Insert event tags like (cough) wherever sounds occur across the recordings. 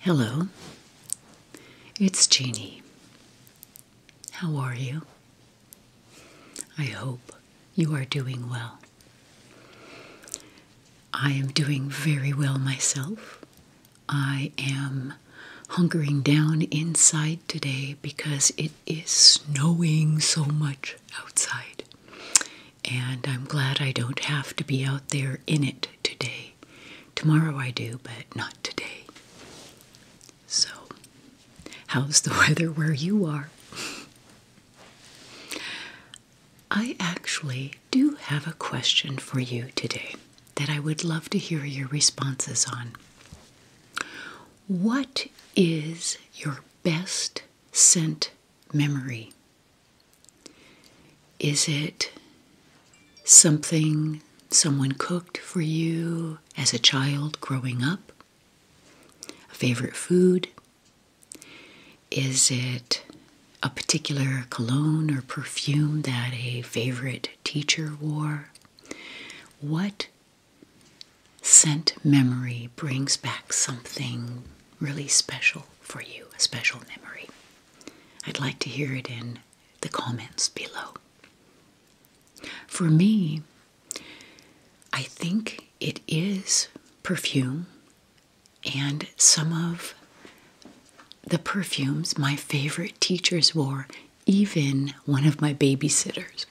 Hello, it's Jeannie. How are you? I hope you are doing well. I am doing very well myself, I am hunkering down inside today because it is snowing so much outside. And I'm glad I don't have to be out there in it today. Tomorrow I do, but not today. So, how's the (laughs) weather where you are? I actually do have a question for you today that I would love to hear your responses on. What is your best scent memory? Is it something someone cooked for you as a child growing up? A favorite food? Is it a particular cologne or perfume that a favorite teacher wore. What scent memory brings back something really special for you, a special memory? I'd like to hear it in the comments below. For me, I think it is perfume and some of the perfumes my favorite teachers wore even one of my babysitters.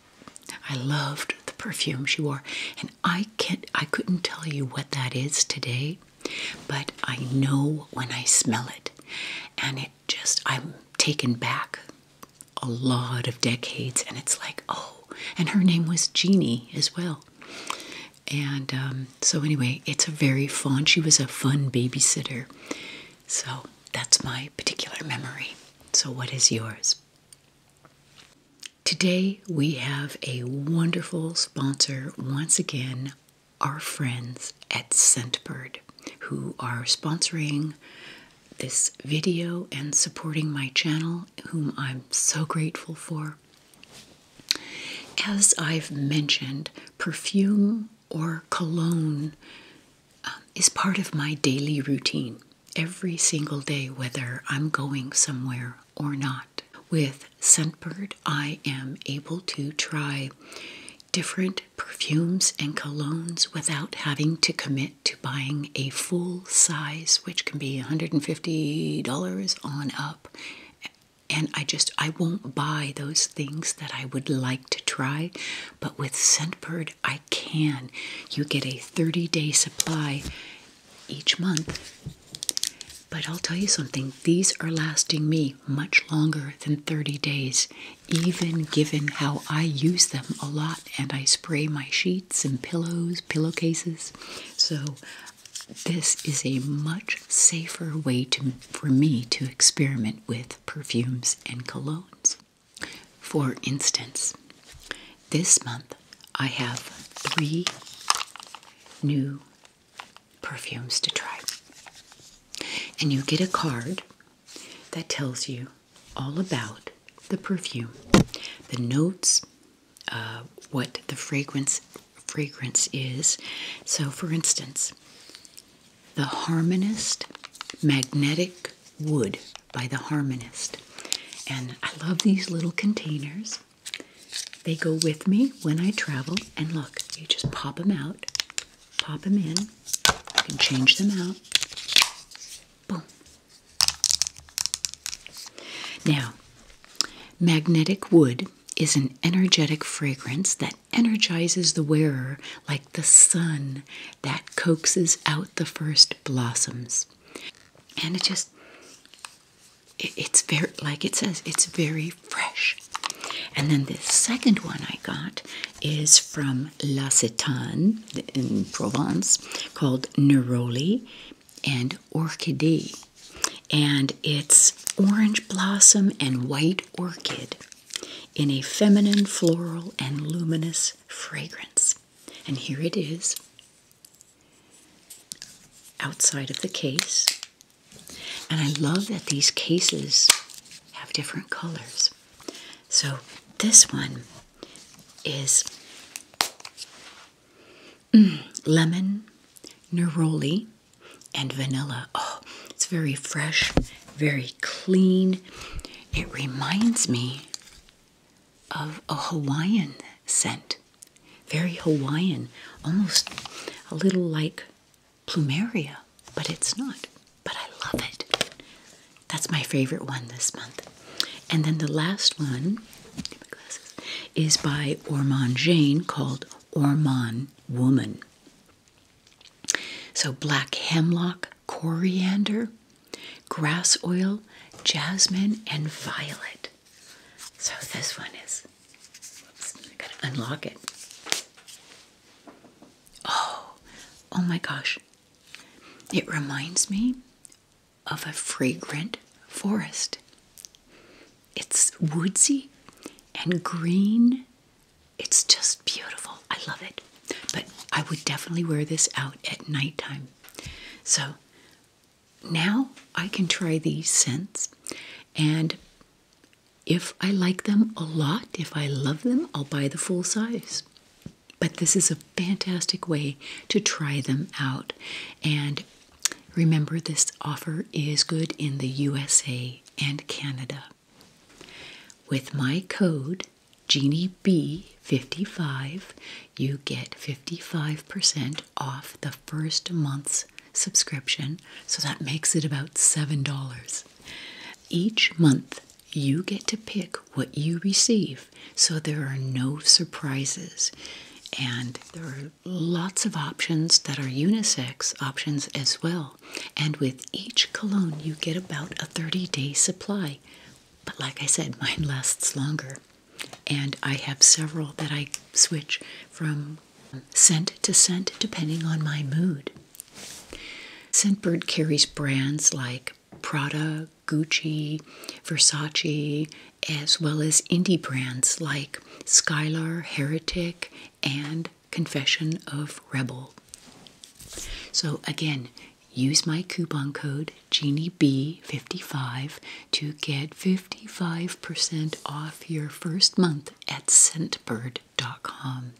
I loved the perfume she wore, and I can't I couldn't tell you what that is today, but I know when I smell it, and it just I'm taken back a lot of decades, and it's like oh, and her name was Jeannie as well. And um, so, anyway, it's a very fun. She was a fun babysitter. So, that's my particular memory. So, what is yours? Today, we have a wonderful sponsor once again, our friends at Scentbird, who are sponsoring this video and supporting my channel, whom I'm so grateful for. As I've mentioned, perfume or cologne um, is part of my daily routine every single day, whether I'm going somewhere or not. With Scentbird, I am able to try different perfumes and colognes without having to commit to buying a full size, which can be $150 on up. And I just, I won't buy those things that I would like to try but with Scentbird, I can. You get a 30 day supply each month. But I'll tell you something, these are lasting me much longer than 30 days, even given how I use them a lot and I spray my sheets and pillows, pillowcases. So this is a much safer way to, for me to experiment with perfumes and cologne. For instance, this month I have three new perfumes to try. And you get a card that tells you all about the perfume, the notes, uh, what the fragrance fragrance is. So, for instance, the Harmonist Magnetic Wood by The Harmonist. And I love these little containers. They go with me when I travel. And look, you just pop them out, pop them in. and change them out. Boom. Now, magnetic wood is an energetic fragrance that energizes the wearer like the sun that coaxes out the first blossoms. And it just, it's very, like it says, it's very fresh. And then the second one I got is from La Cetane in Provence called Neroli and Orchidée. And it's orange blossom and white orchid in a feminine, floral, and luminous fragrance. And here it is outside of the case. And I love that these cases have different colors. So this one is mm, lemon, neroli, and vanilla. Oh, it's very fresh, very clean. It reminds me of a Hawaiian scent, very Hawaiian, almost a little like plumeria, but it's not. But I love it. That's my favorite one this month. And then the last one is by Ormond Jane called Ormond Woman. So, black hemlock, coriander, grass oil, jasmine, and violet. So, this one is. Whoops, I gotta unlock it. Oh, oh my gosh. It reminds me of a fragrant forest. It's woodsy and green it's just beautiful. I love it. But I would definitely wear this out at nighttime. So now I can try these scents and if I like them a lot, if I love them, I'll buy the full size. But this is a fantastic way to try them out. And remember, this offer is good in the USA and Canada. With my code GenieB55, you get 55% off the first month's subscription, so that makes it about $7. Each month, you get to pick what you receive, so there are no surprises. And there are lots of options that are unisex options as well. And with each cologne, you get about a 30 day supply. But like I said, mine lasts longer. And I have several that I switch from scent to scent depending on my mood. Scentbird carries brands like Prada, Gucci, Versace, as well as indie brands like Skylar, Heretic, and Confession of Rebel. So, again, use my coupon code GenieB55 to get 55% off your first month at scentbird.com.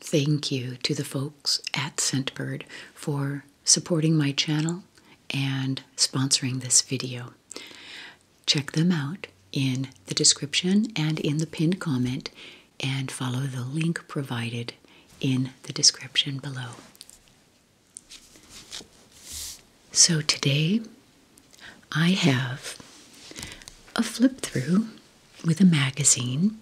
Thank you to the folks at Scentbird for supporting my channel and sponsoring this video. Check them out in the description and in the pinned comment and follow the link provided in the description below. So today I have a flip through with a magazine,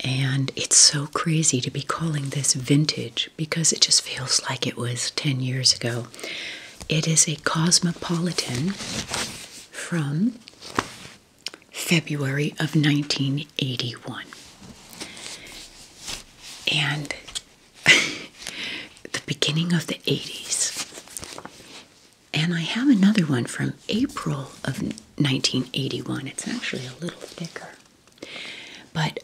and it's so crazy to be calling this vintage because it just feels like it was 10 years ago. It is a Cosmopolitan from February of 1981. And (laughs) the beginning of the 80s. And I have another one from April of 1981. It's actually a little thicker. But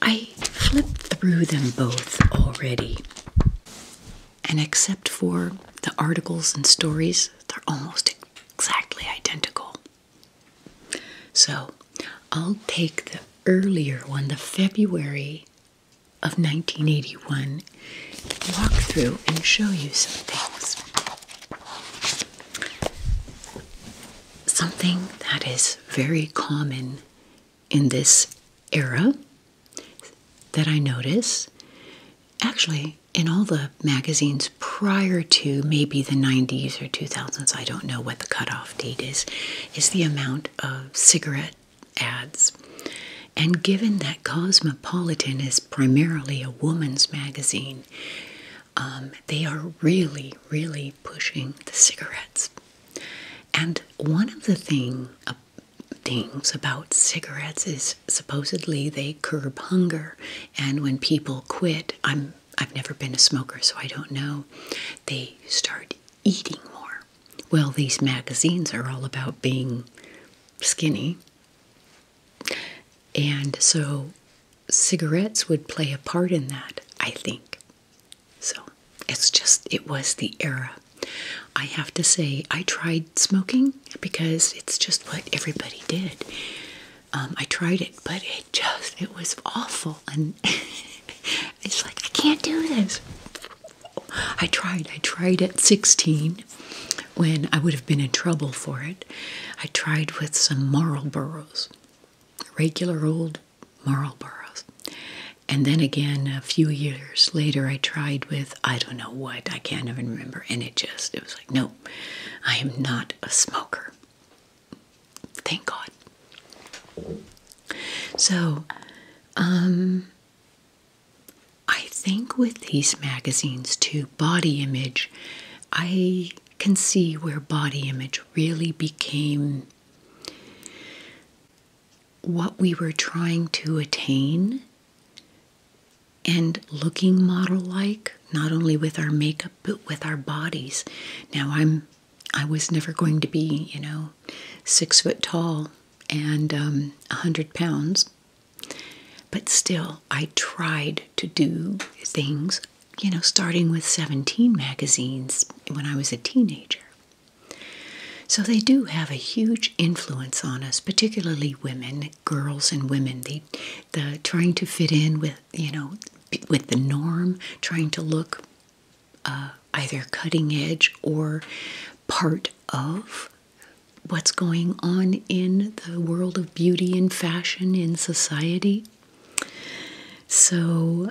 I flipped through them both already. And except for the articles and stories, they're almost exactly identical. So I'll take the earlier one, the February of 1981, walk through and show you some things. Something that is very common in this era that I notice, actually, in all the magazines prior to maybe the 90s or 2000s, I don't know what the cutoff date is, is the amount of cigarette ads. And given that Cosmopolitan is primarily a woman's magazine, um, they are really, really pushing the cigarettes. And one of the thing, uh, things about cigarettes is supposedly they curb hunger and when people quit, I'm I've never been a smoker, so I don't know. They start eating more. Well, these magazines are all about being skinny. And so cigarettes would play a part in that, I think. So it's just, it was the era. I have to say, I tried smoking because it's just what everybody did. Um, I tried it, but it just, it was awful. And (laughs) it's like, I can't do this. I tried. I tried at 16 when I would have been in trouble for it. I tried with some Marlboros, regular old Marlboros. And then again, a few years later, I tried with I don't know what, I can't even remember. And it just, it was like, no, I am not a smoker. Thank God. So, um, I think with these magazines to body image, I can see where body image really became what we were trying to attain and looking model like, not only with our makeup but with our bodies. Now I'm I was never going to be, you know, six foot tall and um, a hundred pounds. But still, I tried to do things, you know, starting with 17 magazines when I was a teenager. So they do have a huge influence on us, particularly women, girls and women. They, the trying to fit in with you know, with the norm, trying to look uh, either cutting edge or part of what's going on in the world of beauty and fashion in society. So,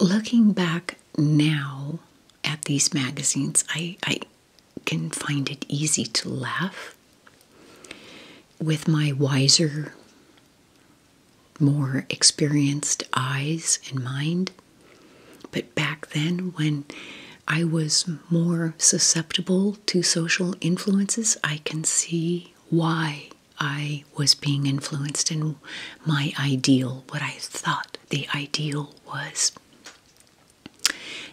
looking back now at these magazines, I, I can find it easy to laugh with my wiser, more experienced eyes and mind. But back then, when I was more susceptible to social influences, I can see why I was being influenced in my ideal, what I thought the ideal was.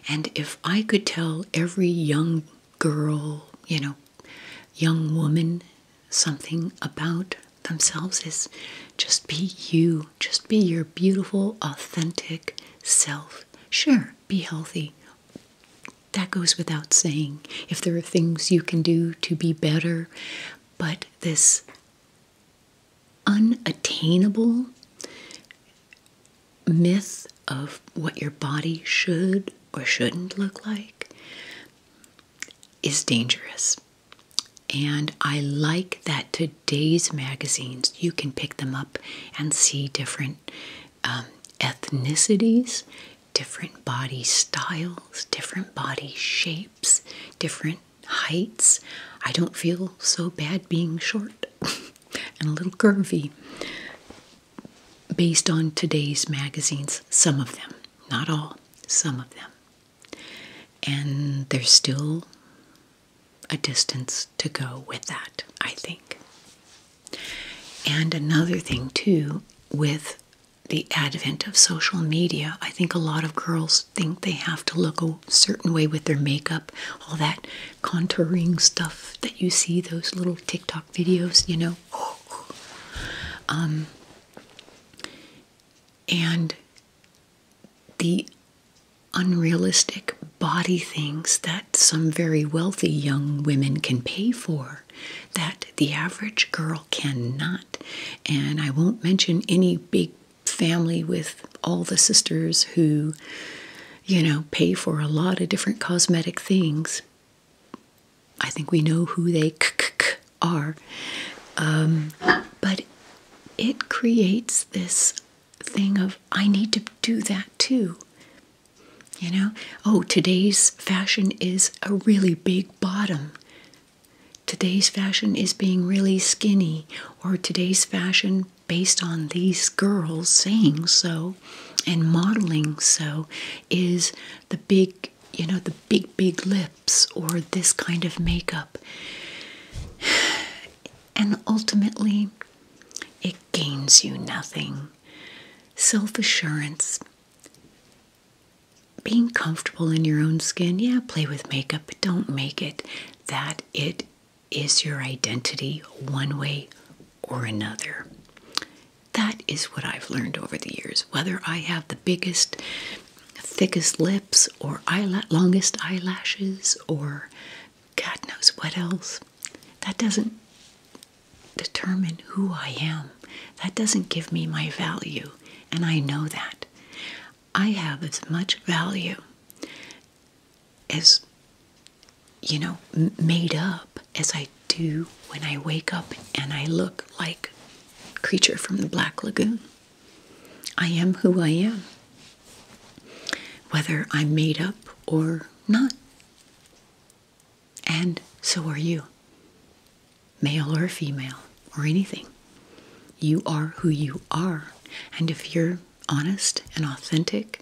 And if I could tell every young girl, you know, young woman, something about themselves is just be you, just be your beautiful, authentic self. Sure, be healthy. That goes without saying. If there are things you can do to be better, but this unattainable myth of what your body should or shouldn't look like is dangerous. And I like that today's magazines, you can pick them up and see different um, ethnicities, different body styles, different body shapes, different heights. I don't feel so bad being short. (laughs) and a little curvy based on today's magazines, some of them, not all, some of them. And there's still a distance to go with that, I think. And another thing, too, with the advent of social media, I think a lot of girls think they have to look a certain way with their makeup, all that contouring stuff that you see, those little TikTok videos, you know. Um, and the unrealistic body things that some very wealthy young women can pay for that the average girl cannot. And I won't mention any big family with all the sisters who, you know, pay for a lot of different cosmetic things. I think we know who they k -k are. Um, but it creates this thing of, I need to do that too. You know, oh, today's fashion is a really big bottom. Today's fashion is being really skinny, or today's fashion based on these girls saying so and modeling so is the big you know the big big lips or this kind of makeup (sighs) and ultimately it gains you nothing self-assurance being comfortable in your own skin yeah play with makeup but don't make it that it is your identity one way or another. That is what I've learned over the years. Whether I have the biggest, thickest lips, or eyel longest eyelashes, or God knows what else, that doesn't determine who I am. That doesn't give me my value, and I know that. I have as much value as you know, made up as I do when I wake up and I look like creature from the Black Lagoon. I am who I am, whether I'm made up or not. And so are you, male or female or anything. You are who you are. And if you're honest and authentic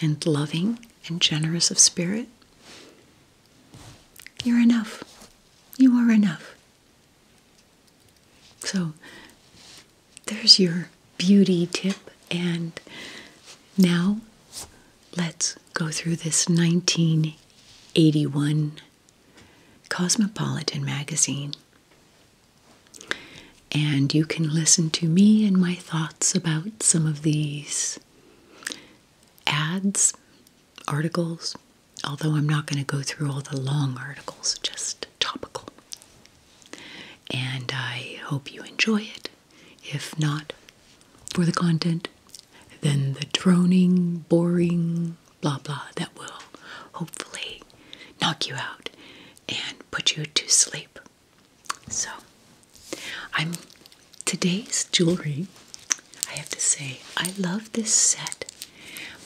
and loving and generous of spirit, you're enough. You are enough. So there's your beauty tip. And now let's go through this 1981 Cosmopolitan magazine. And you can listen to me and my thoughts about some of these ads, articles, although I'm not going to go through all the long articles, just topical. And I hope you enjoy it. If not for the content, then the droning, boring, blah blah that will hopefully knock you out and put you to sleep so, I'm today's jewelry. I have to say, I love this set.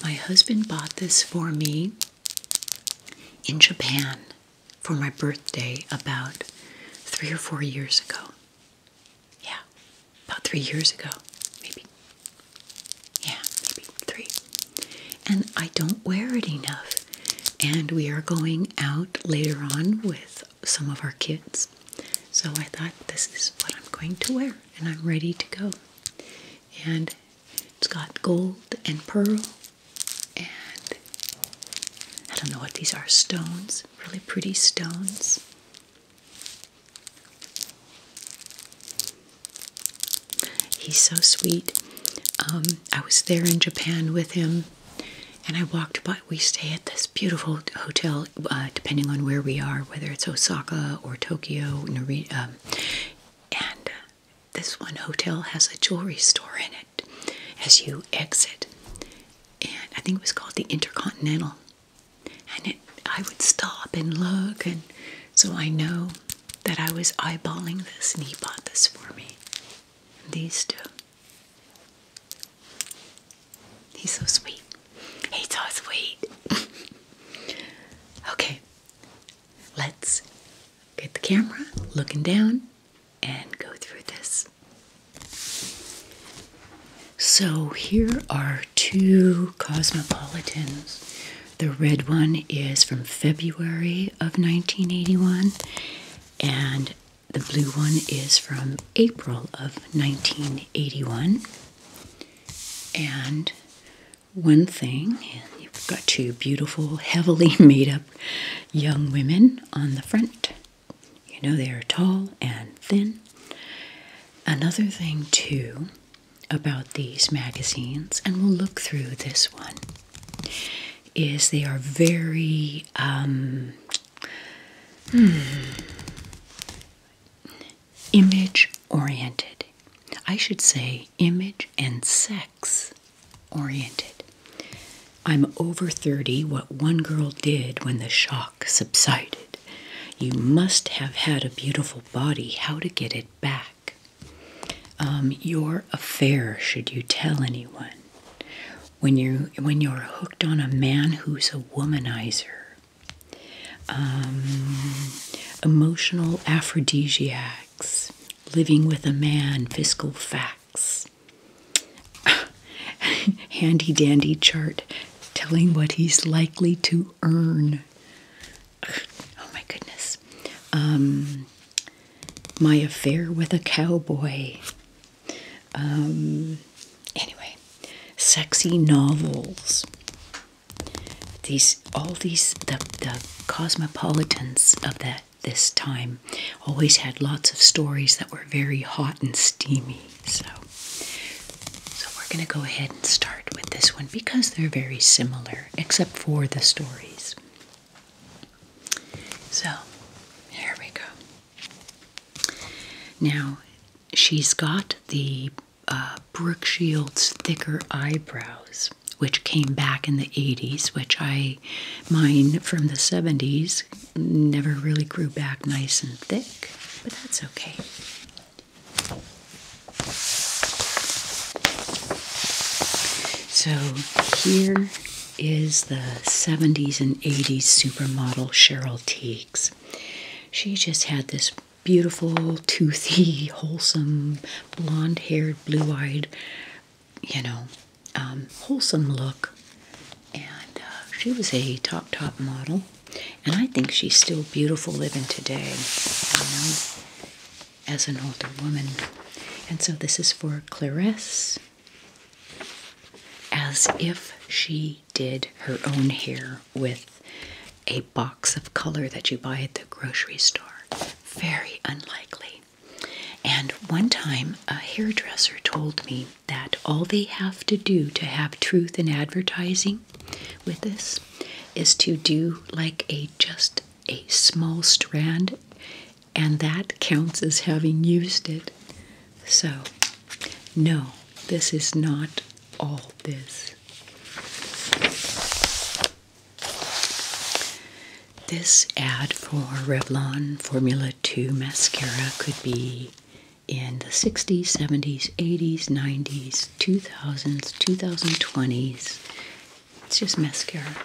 My husband bought this for me in Japan for my birthday about three or four years ago. Yeah, about three years ago, maybe. Yeah, maybe three. And I don't wear it enough. And we are going out later on with some of our kids. So I thought this is what I'm going to wear and I'm ready to go. And it's got gold and pearl and I don't know what these are, stones, really pretty stones. He's so sweet. Um, I was there in Japan with him and I walked by. We stay at this beautiful hotel, uh, depending on where we are, whether it's Osaka or Tokyo, um, and uh, this one hotel has a jewelry store in it as you exit. And I think it was called the Intercontinental. And I would stop and look, and so I know that I was eyeballing this, and he bought this for me. these two. He's so sweet. He's so sweet. (laughs) okay, let's get the camera looking down and go through this. So, here are two cosmopolitans. The red one is from February of 1981, and the blue one is from April of 1981. And one thing, you've got two beautiful, heavily (laughs) made up young women on the front. You know, they are tall and thin. Another thing, too, about these magazines, and we'll look through this one, is they are very um, Hmm. Image oriented. I should say image and sex oriented. I'm over 30. What one girl did when the shock subsided. You must have had a beautiful body. How to get it back. Um, your affair, should you tell anyone when you when you're hooked on a man who's a womanizer. Um, emotional aphrodisiacs, living with a man, fiscal facts, (laughs) handy dandy chart telling what he's likely to earn. Oh my goodness. Um, my affair with a cowboy, um, anyway, sexy novels. These all these the the cosmopolitans of that this time always had lots of stories that were very hot and steamy. So, so we're gonna go ahead and start with this one because they're very similar, except for the stories. So, here we go. Now, she's got the uh, Brook Shields thicker eyebrows, which came back in the 80s, which I, mine from the 70s, never really grew back nice and thick, but that's okay. So here is the 70s and 80s supermodel Cheryl Teagues. She just had this beautiful, toothy, (laughs) wholesome, blonde haired, blue eyed, you know, um, wholesome look. And uh, she was a top, top model. And I think she's still beautiful living today, you know, as an older woman. And so this is for Clarisse as if she did her own hair with a box of color that you buy at the grocery store. Very unlikely. And one time, a hairdresser told me that all they have to do to have truth in advertising with this is to do like a just a small strand, and that counts as having used it. So, no, this is not all this. This ad for Revlon Formula 2 mascara could be in the 60s, 70s, 80s, 90s, 2000s, 2020s. It's just mascara.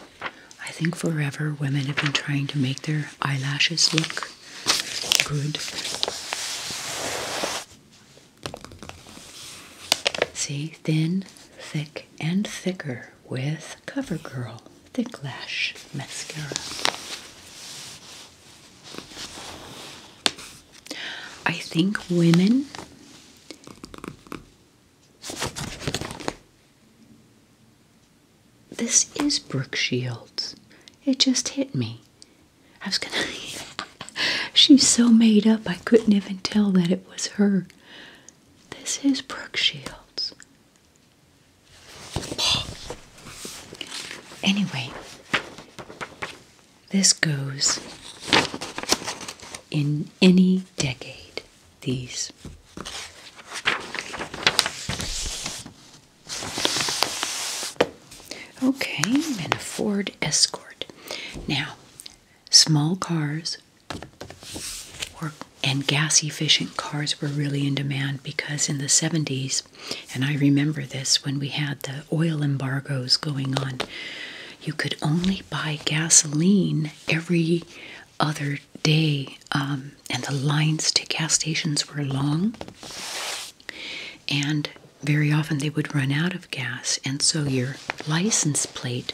I think forever women have been trying to make their eyelashes look Good. See, thin, thick, and thicker with CoverGirl Thick Lash Mascara. I think women this is Brooke Shields. It just hit me. I was gonna. (laughs) She's so made up, I couldn't even tell that it was her. This is Brooke Shields. Anyway, this goes in any decade, these. Okay, and a Ford Escort. Now, small cars and gas efficient cars were really in demand because in the 70s, and I remember this when we had the oil embargoes going on, you could only buy gasoline every other day um, and the lines to gas stations were long, and very often they would run out of gas, and so your license plate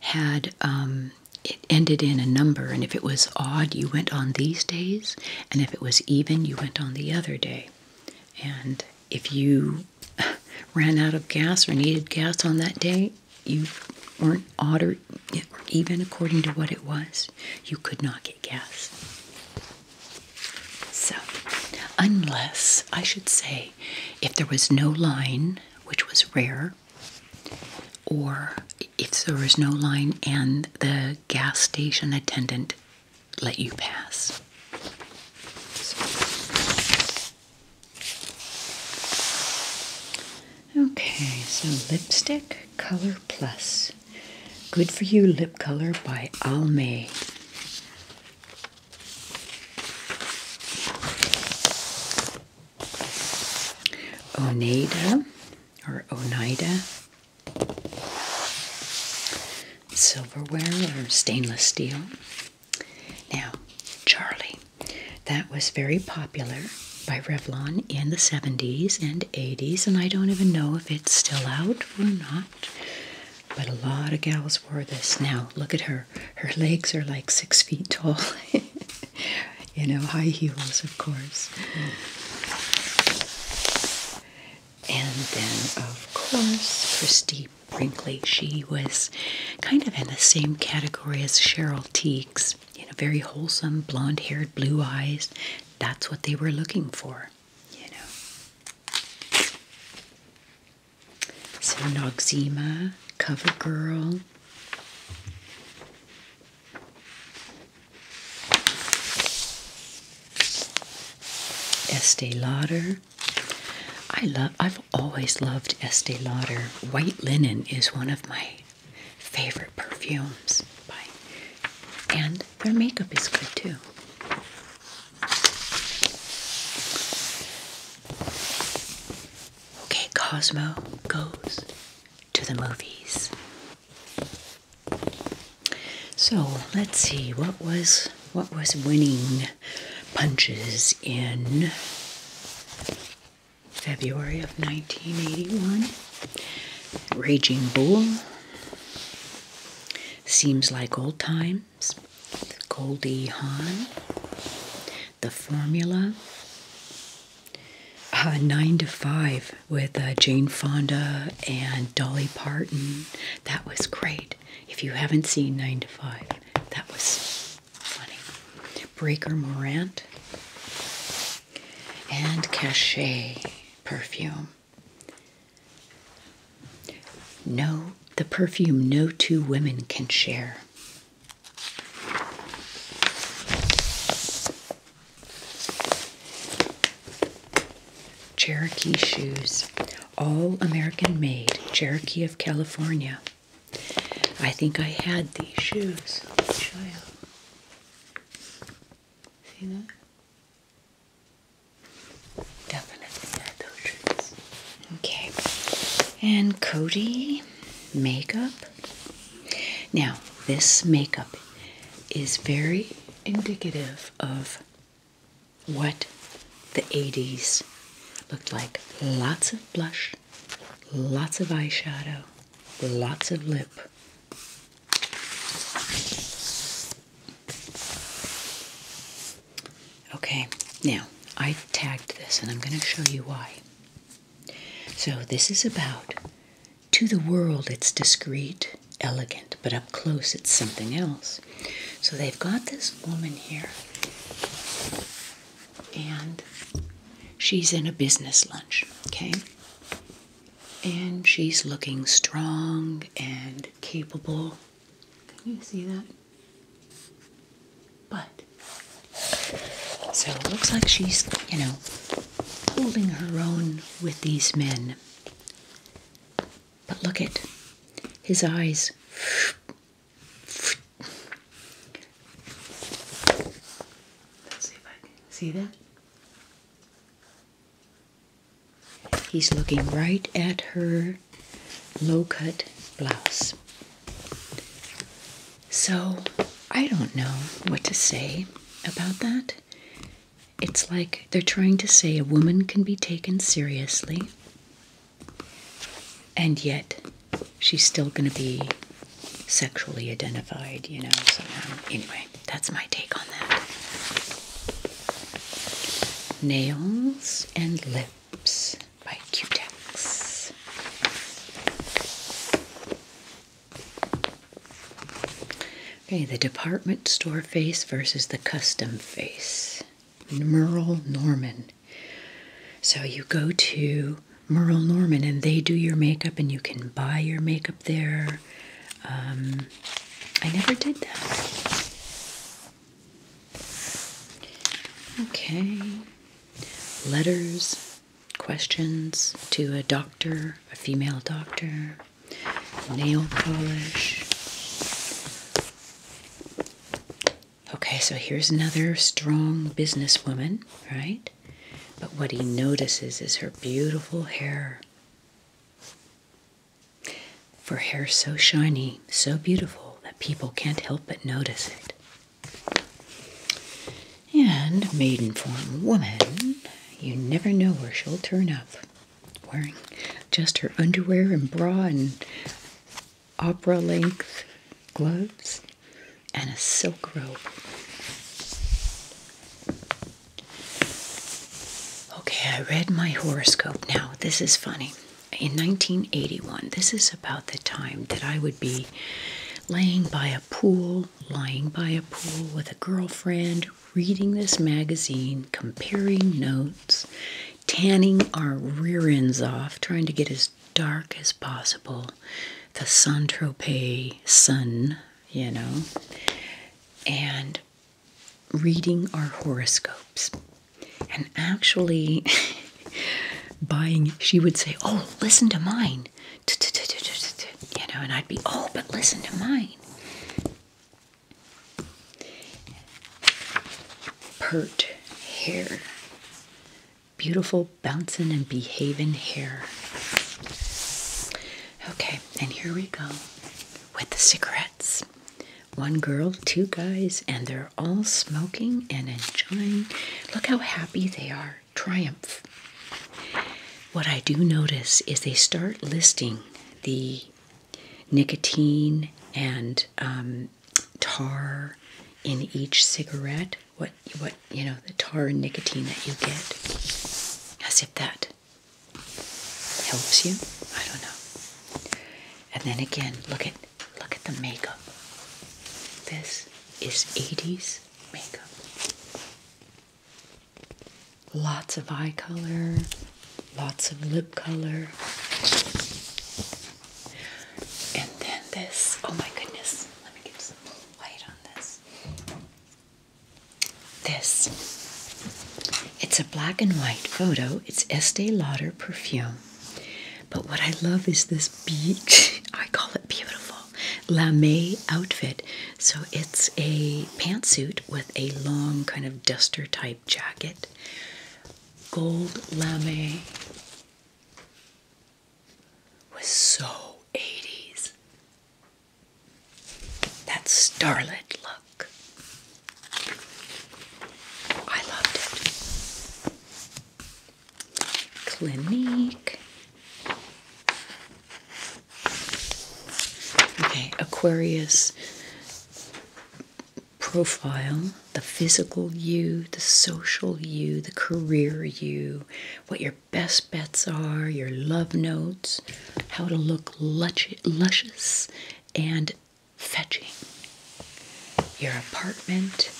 had um, it ended in a number, and if it was odd, you went on these days, and if it was even, you went on the other day, and if you (laughs) ran out of gas or needed gas on that day, you weren't odd or even according to what it was. You could not get gas. So, unless I should say, if there was no line, which was rare, or if there was no line and the gas station attendant let you pass. Okay, so lipstick color plus. Good for You Lip Color by Almay. Oneida or Oneida silverware or stainless steel. Now, Charlie, that was very popular by Revlon in the 70s and 80s, and I don't even know it's still out or not, but a lot of gals wore this. Now, look at her. Her legs are like six feet tall. (laughs) you know, high heels, of course. And then, of course, Christie Brinkley. She was kind of in the same category as Cheryl Teagues. You know, very wholesome, blonde-haired, blue-eyes, that's what they were looking for, you know. So Noxzema, CoverGirl. Estee Lauder. I love I've always loved Estee Lauder. White linen is one of my favorite perfumes by and their makeup is good too. Okay, Cosmo goes to the movies. So let's see what was what was winning punches in February of 1981. Raging Bull, Seems like old times. Goldie Hawn. The Formula. Uh, nine to Five with uh, Jane Fonda and Dolly Parton. That was great. If you haven't seen Nine to Five, that was funny. Breaker Morant and Cachet perfume. No, the perfume no two women can share. Cherokee shoes, all American made, Cherokee of California. I think I had these shoes. show you. See that? Okay. And Cody makeup. Now, this makeup is very indicative of what the 80s looked like. Lots of blush, lots of eyeshadow, lots of lip, Okay, now I tagged this and I'm going to show you why. So, this is about to the world, it's discreet, elegant, but up close, it's something else. So, they've got this woman here, and she's in a business lunch, okay? and she's looking strong and capable. Can you see that? But so it looks like she's, you know, holding her own with these men. But look at his eyes. see that. He's looking right at her low cut blouse. So I don't know what to say about that. It's like they're trying to say a woman can be taken seriously, and yet she's still going to be sexually identified, you know, somehow. Anyway, that's my take on that. Nails and Lips by Q-Tex. Okay, the department store face versus the custom face. Merle Norman. So you go to Merle Norman and they do your makeup and you can buy your makeup there. Um, I never did that. Okay. Letters, questions to a doctor, a female doctor, nail polish. Okay, so here's another strong businesswoman, right? But what he notices is her beautiful hair for hair so shiny, so beautiful that people can't help but notice it. And maiden form woman, you never know where she'll turn up, wearing just her underwear and bra and opera length gloves and a silk robe. Okay, I read my horoscope now. This is funny. In 1981, this is about the time that I would be laying by a pool, lying by a pool with a girlfriend, reading this magazine, comparing notes, tanning our rear ends off, trying to get as dark as possible. The sun Tropez sun, you know. And reading our horoscopes and actually (laughs) buying. She would say, Oh, listen to mine. You know, and I'd be, Oh, but listen to mine. Pert hair. Beautiful, bouncing, and behaving hair. Okay, and here we go with the cigarettes. One girl, two guys, and they're all smoking and enjoying. Look how happy they are. Triumph. What I do notice is they start listing the nicotine and um, tar in each cigarette. What what you know the tar and nicotine that you get, I if that helps you. I don't know. And then again, look at look at the makeup. This is 80s makeup. Lots of eye color, lots of lip color. And then this, oh my goodness, let me get some light on this. This. It's a black and white photo. It's Estee Lauder perfume. But what I love is this beach, (laughs) I call it beautiful, lame outfit. So it's a pantsuit with a long kind of duster type jacket, gold lame. Was so 80s. That starlit look. I loved it. Clinique. Okay, Aquarius profile, the physical you, the social you, the career you, what your best bets are, your love notes, how to look luscious and fetching your apartment.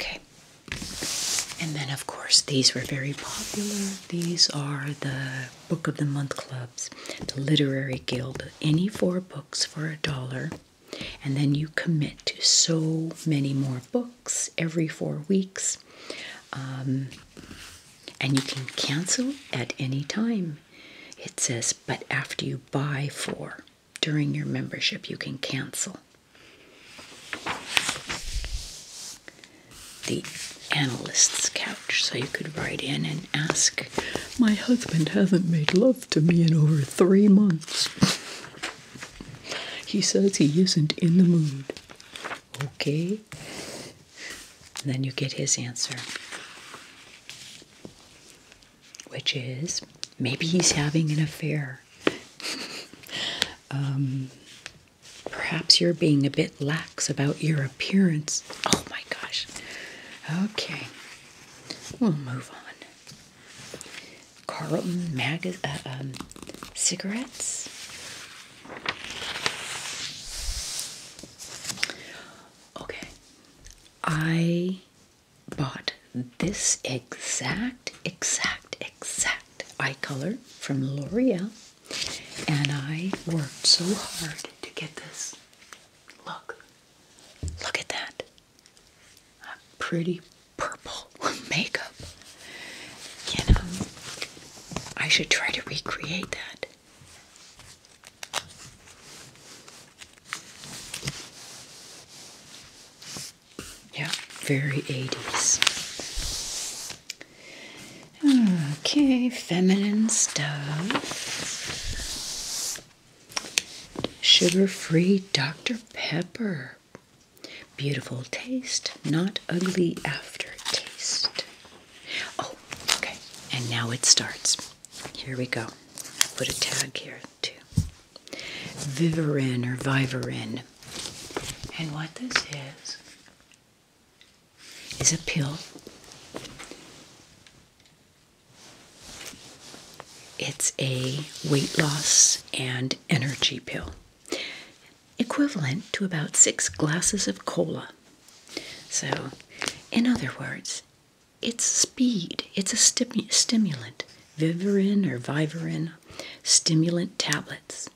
Okay. And then, of course, these were very popular. These are the Book of the Month clubs, the Literary Guild. Any four books for a dollar. And then you commit to so many more books every four weeks. Um, and you can cancel at any time. It says, but after you buy for during your membership, you can cancel. The analyst's couch, so you could write in and ask, My husband hasn't made love to me in over three months. He says he isn't in the mood. Okay. And then you get his answer, which is maybe he's having an affair. (laughs) Um, perhaps you're being a bit lax about your appearance. Oh my gosh. Okay, we'll move on. Carlton mag- uh, um, cigarettes. Okay, I bought this exact, exact, exact eye color from L'Oreal, and I worked so hard to get this. Look, look at that. A pretty purple (laughs) makeup. You know, I should try to recreate that. Yeah, very 80s. Okay, feminine stuff. Sugar free Dr. Pepper. Beautiful taste, not ugly aftertaste. Oh, okay. And now it starts. Here we go. put a tag here too. Vivarin or Vivarin. And what this is is a pill. It's a weight loss and energy pill equivalent to about six glasses of cola. So, in other words, it's speed, it's a stimulant, Vivarin or Vivarin stimulant tablets.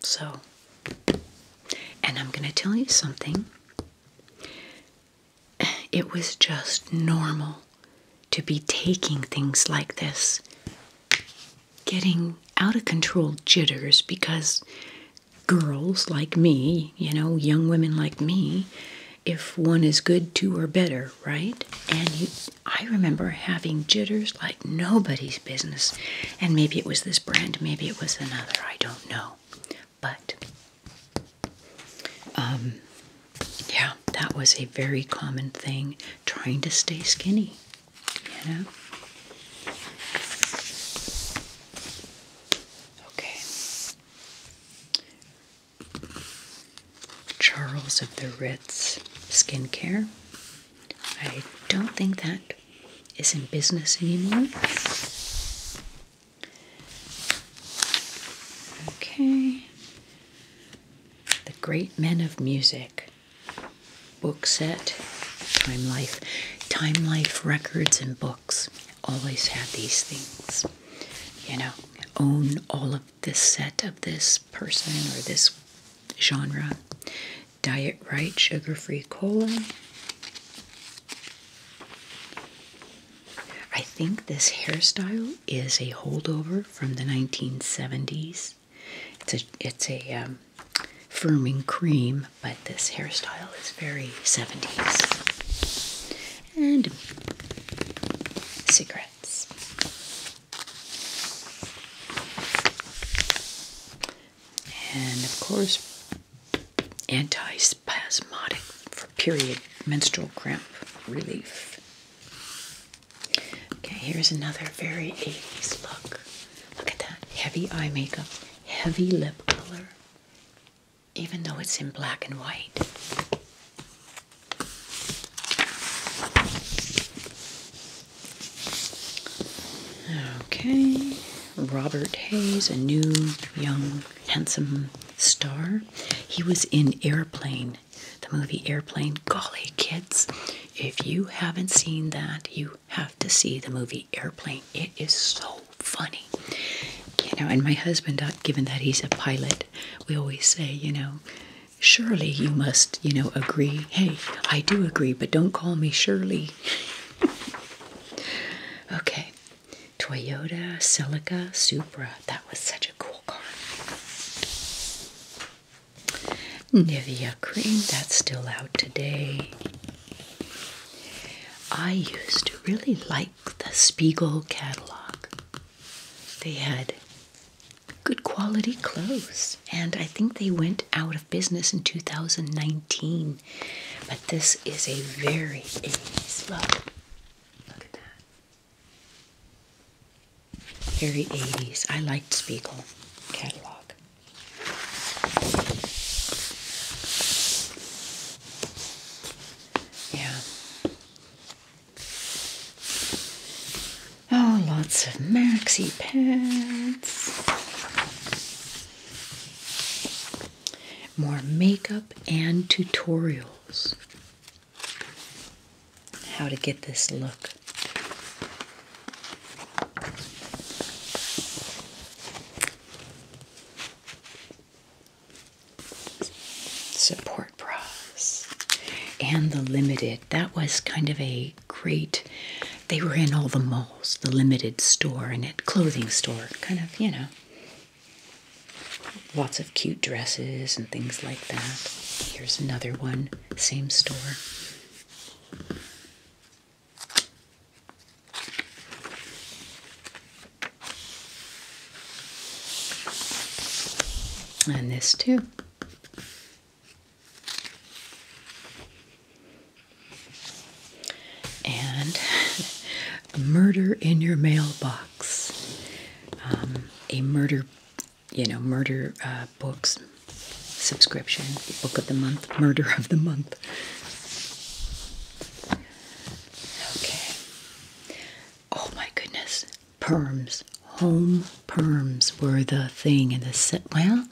So, and I'm going to tell you something. It was just normal to be taking things like this, getting out of control jitters because girls like me, you know, young women like me, if one is good, two are better, right? And you, I remember having jitters like nobody's business. And maybe it was this brand, maybe it was another, I don't know. But, um, yeah, that was a very common thing trying to stay skinny. You Okay. Charles of the Ritz Skincare. I don't think that is in business anymore. Okay. The Great Men of Music book set, Time Life. Time Life records and books always had these things. You know, own all of this set of this person or this genre. Diet right, sugar free cola. I think this hairstyle is a holdover from the 1970s. It's a it's a um, firming cream, but this hairstyle is very 70s. And cigarettes. And of course, anti-spasmodic for period menstrual cramp relief. Okay, here's another very 80s look. Look at that heavy eye makeup heavy lip color, even though it's in black and white. Okay, Robert Hayes, a new, young, handsome star. He was in Airplane, the movie Airplane. Golly, kids, if you haven't seen that, you have to see the movie airplane. It is so funny. You know, and my husband, uh, given that he's a pilot, we always say, you know, surely you must, you know, agree. Hey, I do agree, but don't call me Shirley. (laughs) okay. Toyota Celica Supra. That was such a cool car. Nivea cream, that's still out today. I used to really like the Spiegel catalog. They had good quality clothes, and I think they went out of business in 2019. But this is a very 80s look. Look at that. Very 80s. I liked Spiegel catalog. Yeah. Oh, lots of maxi pads. More makeup and tutorials. How to get this look support bras and the limited that was kind of a great they were in all the malls the limited store and at clothing store kind of you know lots of cute dresses and things like that here's another one same store and this too. And (laughs) murder in your mailbox. Um, a murder, you know, murder uh, books subscription, book of the month, murder of the month Okay. Oh my goodness. Perms. Home perms were the thing in the set. Well,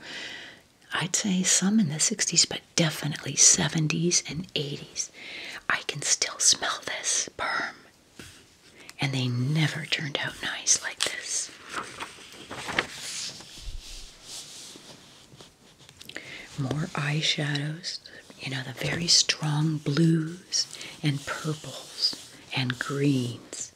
I'd say some in the 60s, but definitely 70s and 80s. I can still smell this perm. And they never turned out nice like this. More eyeshadows, you know, the very strong blues and purples and greens.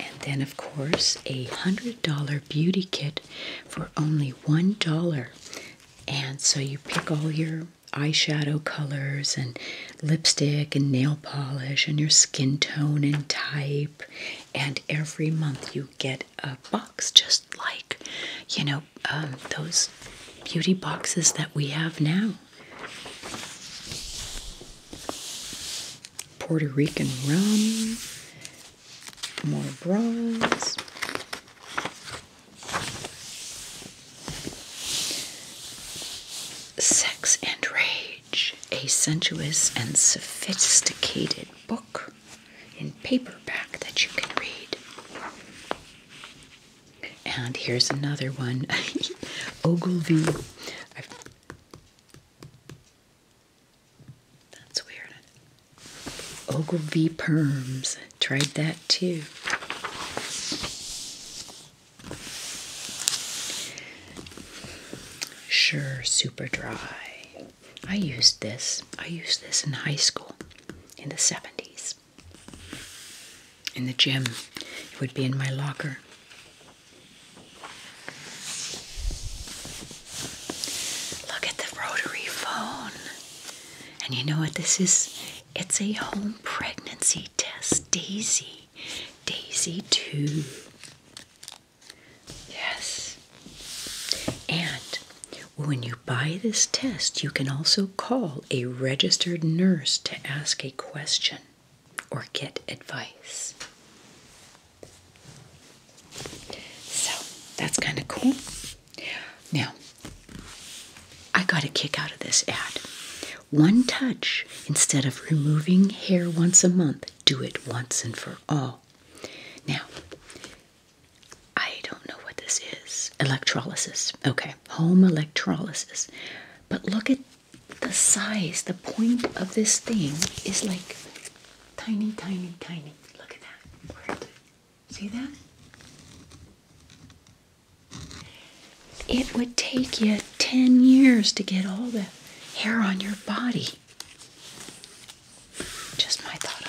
And then, of course, a $100 beauty kit for only $1. And so you pick all your eyeshadow colors and lipstick and nail polish and your skin tone and type and every month you get a box just like you know um, those beauty boxes that we have now. Puerto Rican rum, more bras. Sex and rage a sensuous and sophisticated book in paperback that you can read. And here's another one (laughs) Ogilvy. That's weird. Ogilvy Perms. Tried that too. Sure Super Dry. I used this. I used this in high school in the 70s. In the gym, it would be in my locker. Look at the rotary phone. And you know what this is? It's a home pregnancy test. Daisy. Daisy 2. Yes. And when you buy this test, you can also call a registered nurse to ask a question or get advice. So that's kind of cool. Now, I got a kick out of this ad. One touch, instead of removing hair once a month, do it once and for all. Now, I don't know what this is. Electrolysis. Okay, home electrolysis. But look at the size. The point of this thing is like tiny, tiny, tiny. Look at that. See that? It would take you 10 years to get all the hair on your body. Just my thought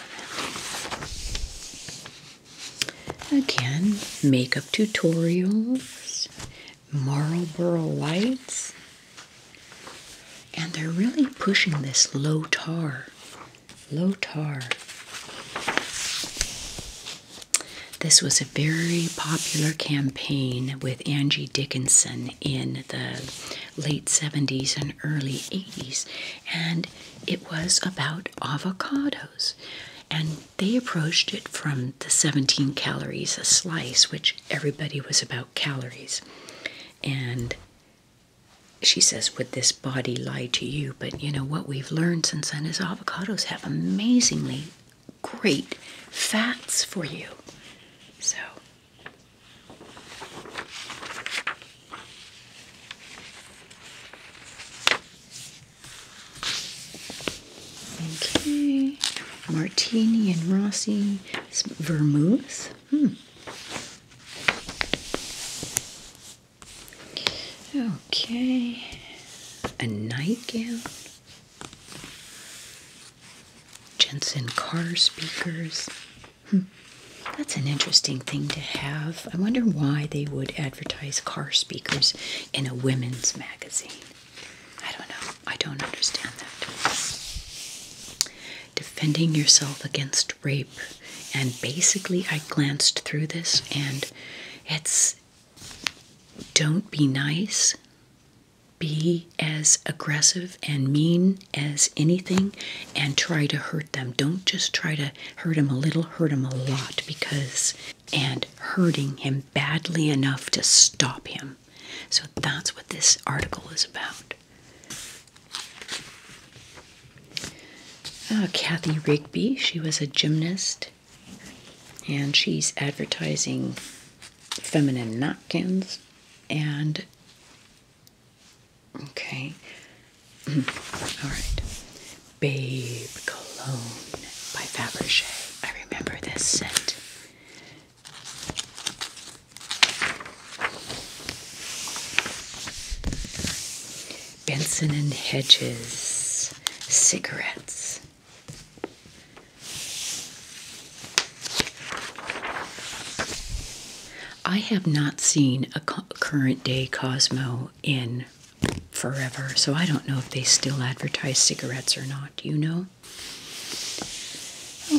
on it. Again, makeup tutorials, Marlboro lights, and they're really pushing this low tar. Low tar. This was a very popular campaign with Angie Dickinson in the late 70s and early 80s, and it was about avocados. And they approached it from the 17 calories a slice, which everybody was about calories. And she says, Would this body lie to you? But you know what we've learned since then is avocados have amazingly great fats for you. So Okay, Martini and Rossi vermouth. Hmm. Okay, a nightgown. Jensen car speakers. Hmm. That's an interesting thing to have. I wonder why they would advertise car speakers in a women's magazine. I don't know. I don't understand that. Defending yourself against rape. And basically, I glanced through this and it's don't be nice be as aggressive and mean as anything and try to hurt them. Don't just try to hurt him a little, hurt him a lot because, and hurting him badly enough to stop him. So that's what this article is about. Uh, Kathy Rigby, she was a gymnast and she's advertising feminine napkins and Okay. (clears throat) All right. Babe Cologne by Fabergé. I remember this scent. Benson and Hedges cigarettes. I have not seen a current day Cosmo in forever, so I don't know if they still advertise cigarettes or not. you know?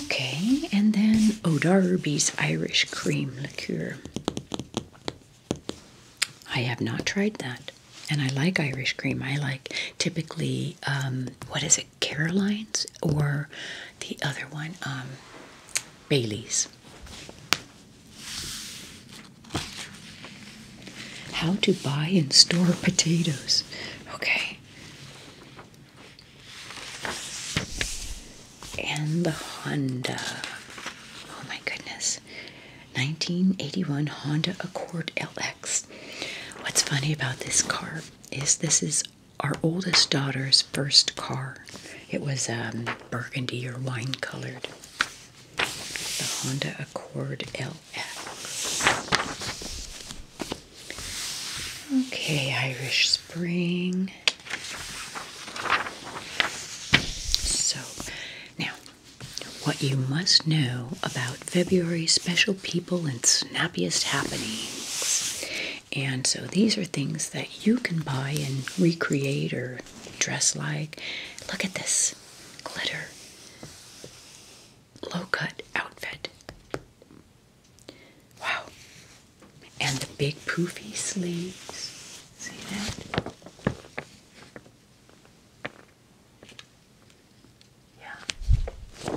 Okay, and then O'Darby's oh Irish Cream Liqueur. I have not tried that. And I like Irish cream. I like typically, um, what is it Caroline's or the other one, um, Bailey's. How to buy and store potatoes. Okay. And the Honda. Oh my goodness. 1981 Honda Accord LX. What's funny about this car is this is our oldest daughter's first car. It was um, burgundy or wine colored. The Honda Accord LX. Okay, Irish Spring. So, now, what you must know about February's special people and snappiest happenings. And so these are things that you can buy and recreate or dress like. Look at this glitter low cut outfit. Wow. And the big poofy sleeves. See that? Yeah.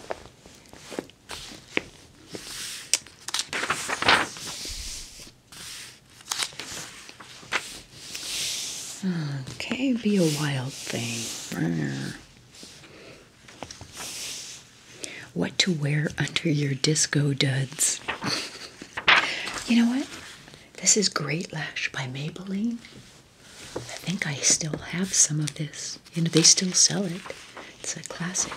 Okay, be a wild thing. What to wear under your disco duds. you know what? This is Great Lash by Maybelline. I think I still have some of this. Yes, you know they still sell it. It's a classic.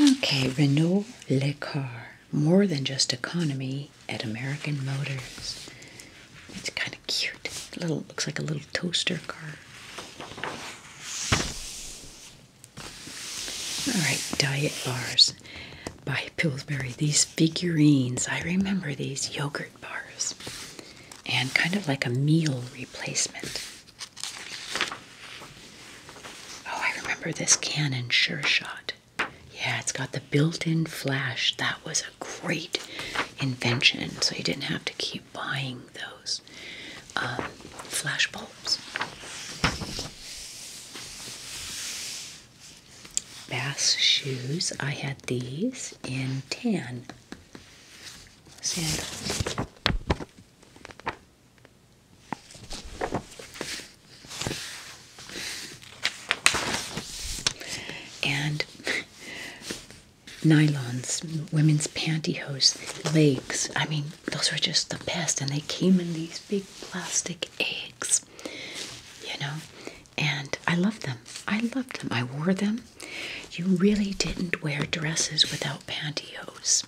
Okay, Renault LeCar. more than just economy at American Motors. It's kind of cute. little looks like a little toaster car. All right, diet bars by Pillsbury. These figurines, I remember these yogurt bars and kind of like a meal replacement. Oh, I remember this Canon Sure Shot. Yeah, it's got the built-in flash. That was a great invention, so you didn't have to keep buying those um, flash bulbs. Bass shoes. I had these in tan. And nylons, women's pantyhose, legs. I mean, those were just the best. And they came in these big plastic eggs, you know. And I loved them. I loved them. I wore them you really didn't wear dresses without pantyhose.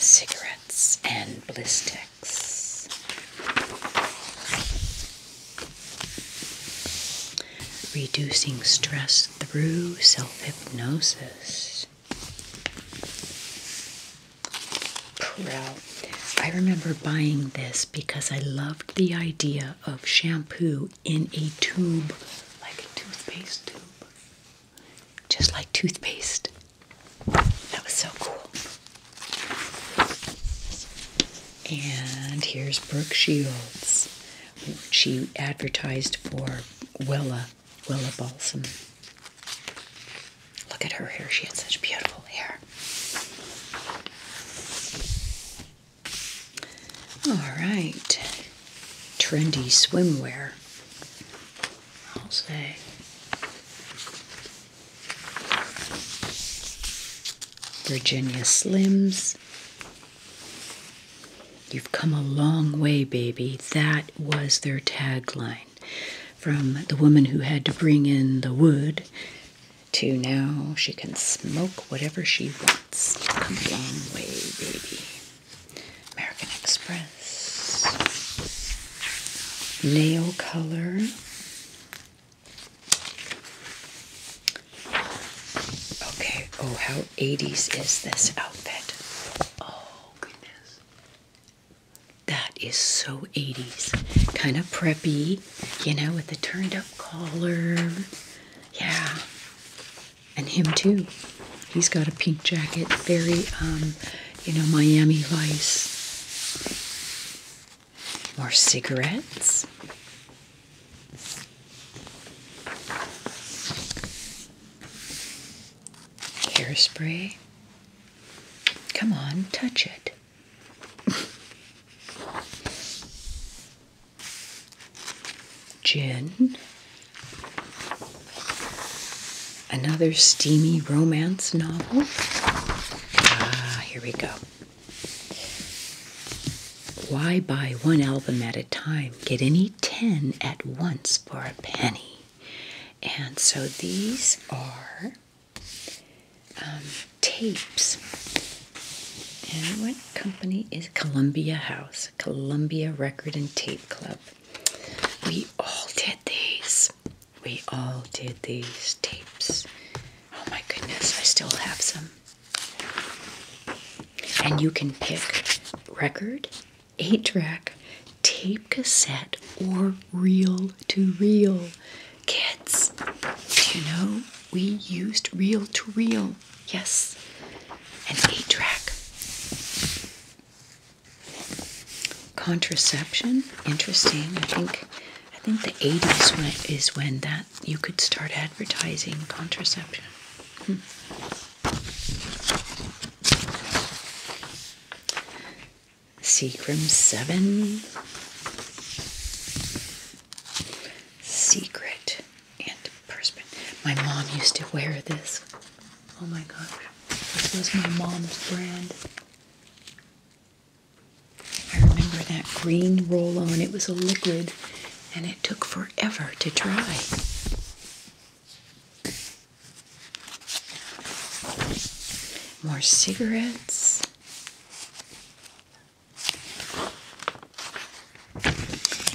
Cigarettes and Blistex. Reducing stress through self hypnosis. Proud I remember buying this because I loved the idea of shampoo in a tube, like a toothpaste tube. Just like toothpaste. That was so cool. And here's Brooke Shields. She advertised for Willa, Willa Balsam. Look at her hair. She had such beautiful hair. All right, trendy swimwear, I'll say. Virginia Slims. You've come a long way, baby. That was their tagline from the woman who had to bring in the wood to now she can smoke whatever she wants. Come a long way, baby. American Express. Nail color. Okay, oh, how 80s is this outfit? Oh, goodness. That is so 80s. Kind of preppy, you know, with the turned up collar. Yeah. And him too. He's got a pink jacket, very, um, you know, Miami Vice. More cigarettes. Hairspray. Come on, touch it. Gin. Another steamy romance novel. Ah, here we go. Why buy one album at a time? Get any 10 at once for a penny. And so these are um, tapes. And what company is Columbia House? Columbia Record and Tape Club. We all did these. We all did these tapes. Oh my goodness, I still have some. And you can pick record, 8 track, tape cassette, or reel to reel. Kids, do you know we used reel to reel? Yes, an eight track. Contraception, interesting. I think I think the 80s is when that you could start advertising contraception. Hmm. 7 Secret and perspin. My mom used to wear this. Oh my gosh. This was my mom's brand. I remember that green roll on. It was a liquid and it took forever to dry. More cigarettes.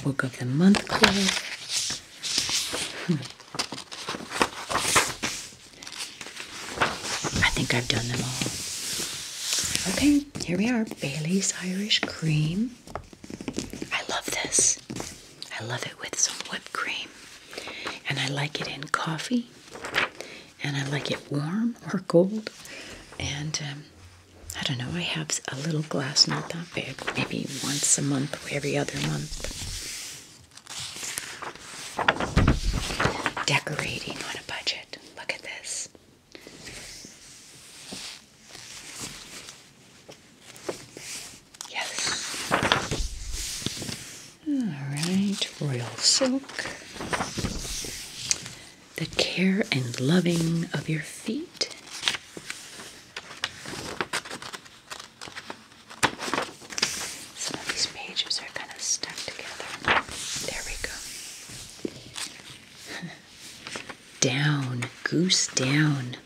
Book of the Month Club. I think I've done them all. Okay, here we are. Bailey's Irish Cream. I love this. I love it with some whipped cream. And I like it in coffee and I like it warm or cold. And um, I don't know, I have a little glass, not that big, maybe once a month or every other month. Decorating on a budget. Look at this. Yes. All right, royal silk the care and loving of your feet. Some of these pages are kind of stuck together. There we go. (laughs) down, goose down.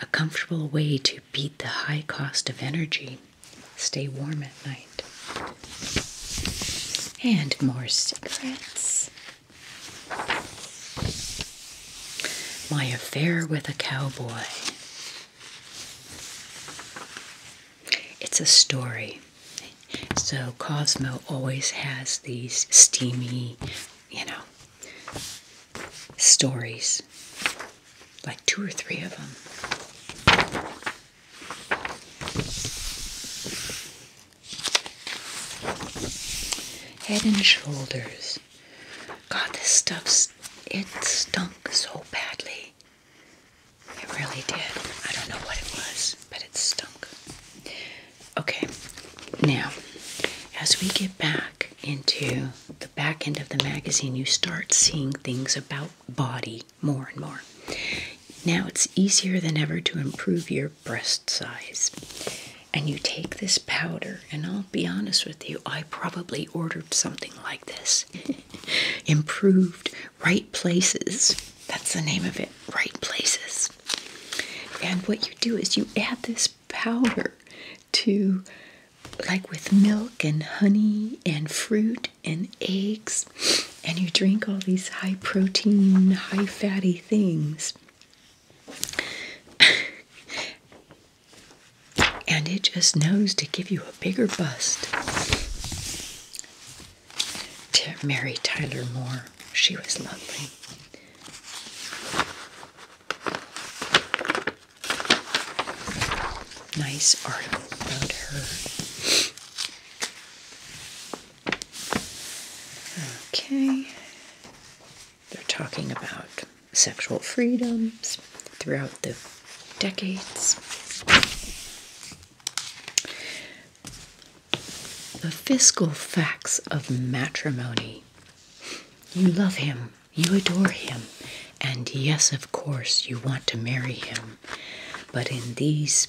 A comfortable way to beat the high cost of energy. Stay warm at night. And more cigarettes. My affair with a cowboy. It's a story. So Cosmo always has these steamy, you know, stories. Like two or three of them. Head and shoulders. God, this stuff it stunk so badly. It really did. I don't know what it was, but it stunk. Okay, now, as we get back into the back end of the magazine, you start seeing things about body more and more. Now it's easier than ever to improve your breast size. And you take this powder, and I'll be honest with you, I probably ordered something like this. (laughs) Improved Right Places. That's the name of it, Right Places. And what you do is you add this powder to, like with milk and honey and fruit and eggs, and you drink all these high protein, high fatty things. (laughs) and it just knows to give you a bigger bust. Mary Tyler Moore, she was lovely. Nice article about her. Okay. They're talking about sexual freedoms throughout the decades. The fiscal facts of matrimony. You love him, you adore him, and yes, of course, you want to marry him. But in these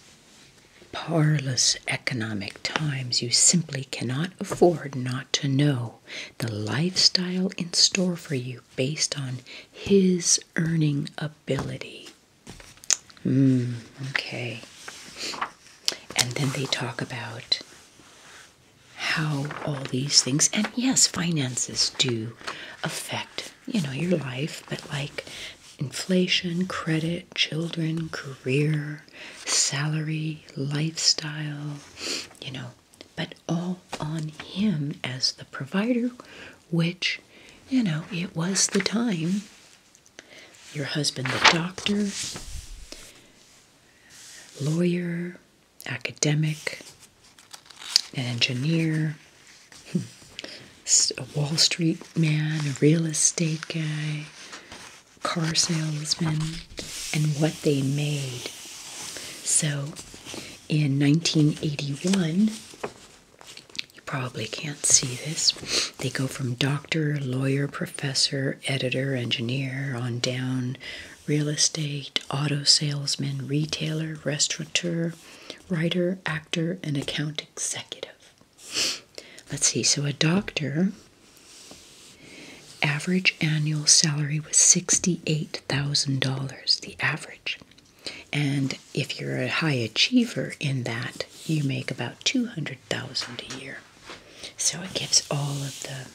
Parlous economic times, you simply cannot afford not to know the lifestyle in store for you based on his earning ability. Hmm, okay. And then they talk about how all these things, and yes, finances do affect, you know, your life, but like inflation, credit, children, career, salary, lifestyle, you know, but all on him as the provider, which, you know, it was the time. Your husband, the doctor, lawyer, academic, an engineer, hmm, a Wall Street man, a real estate guy, car salesman, and what they made. So in 1981, you probably can't see this, they go from doctor, lawyer, professor, editor, engineer on down, real estate, auto salesman, retailer, restaurateur, writer, actor, and account executive. Let's see. So a doctor average annual salary was $68,000, the average. And if you're a high achiever in that, you make about 200,000 a year. So it gives all of the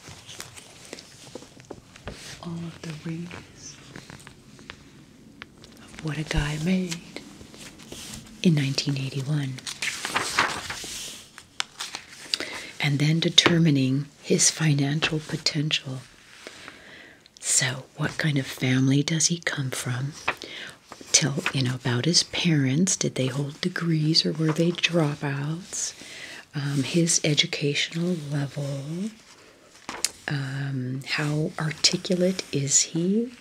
all of the ranges of what a guy made in 1981. And then determining his financial potential. So, what kind of family does he come from? Tell, you know, about his parents. Did they hold degrees or were they dropouts? Um, his educational level. Um, how articulate is he?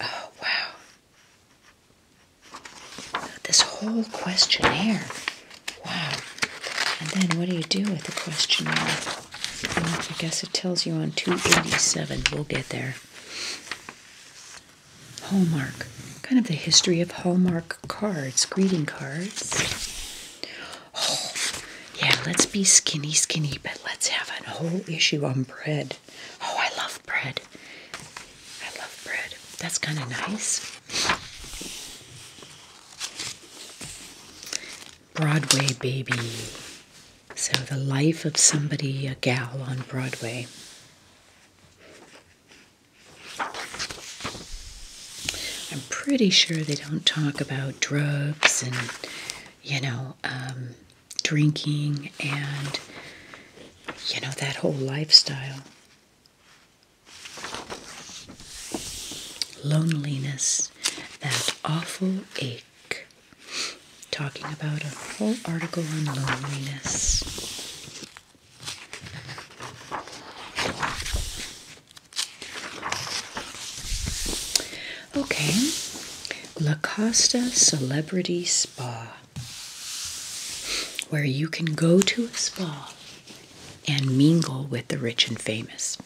Oh, wow. This whole questionnaire. Wow. And then what do you do with the questionnaire? I guess it tells you on 287. We'll get there. Hallmark. Kind of the history of Hallmark cards, greeting cards. Oh, yeah, let's be skinny, skinny, but let's have a whole issue on bread. Oh, I love bread. I love bread. That's kind of nice. Broadway Baby. So, the life of somebody, a gal on Broadway. I'm pretty sure they don't talk about drugs and, you know, um, drinking and you know that whole lifestyle loneliness that awful ache talking about a whole article on loneliness okay La Costa Celebrity spa where you can go to a spa and mingle with the rich and famous.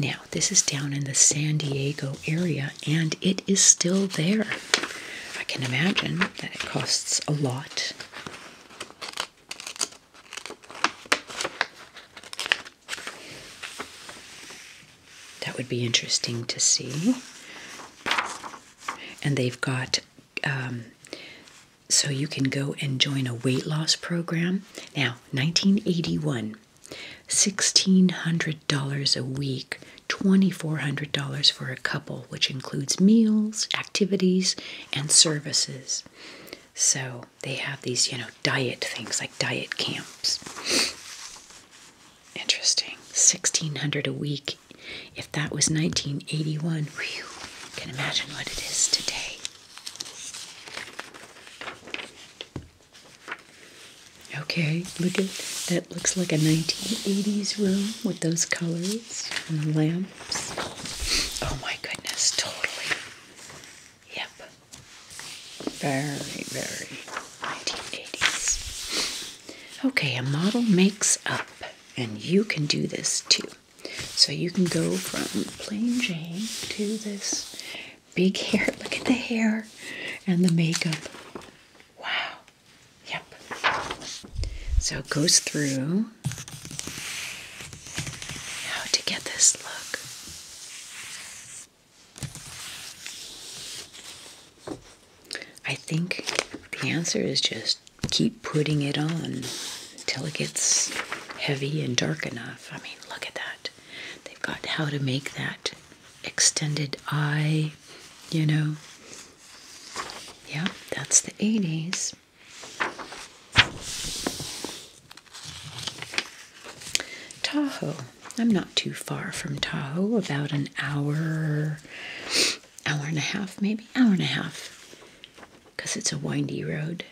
Now, this is down in the San Diego area and it is still there. I can imagine that it costs a lot. That would be interesting to see. And they've got, um, so you can go and join a weight loss program. Now, 1981, $1,600 a week, $2,400 for a couple, which includes meals, activities, and services. So they have these, you know, diet things like diet camps. Interesting. 1600 a week. If that was 1981, whew, can imagine what it is today. Okay, look at that looks like a 1980s room with those colors and the lamps. Oh my goodness, totally. Yep. Very, very Okay, a model makes up, and you can do this too. So you can go from plain Jane to this big hair. (laughs) Look at the hair and the makeup. Wow. Yep. So it goes through how to get this look. I think the answer is just keep putting it on until it gets heavy and dark enough. I mean, look at that. They've got how to make that extended eye, you know. Yeah, that's the 80s. Tahoe. I'm not too far from Tahoe, about an hour, hour and a half, maybe hour and a half, because it's a windy road.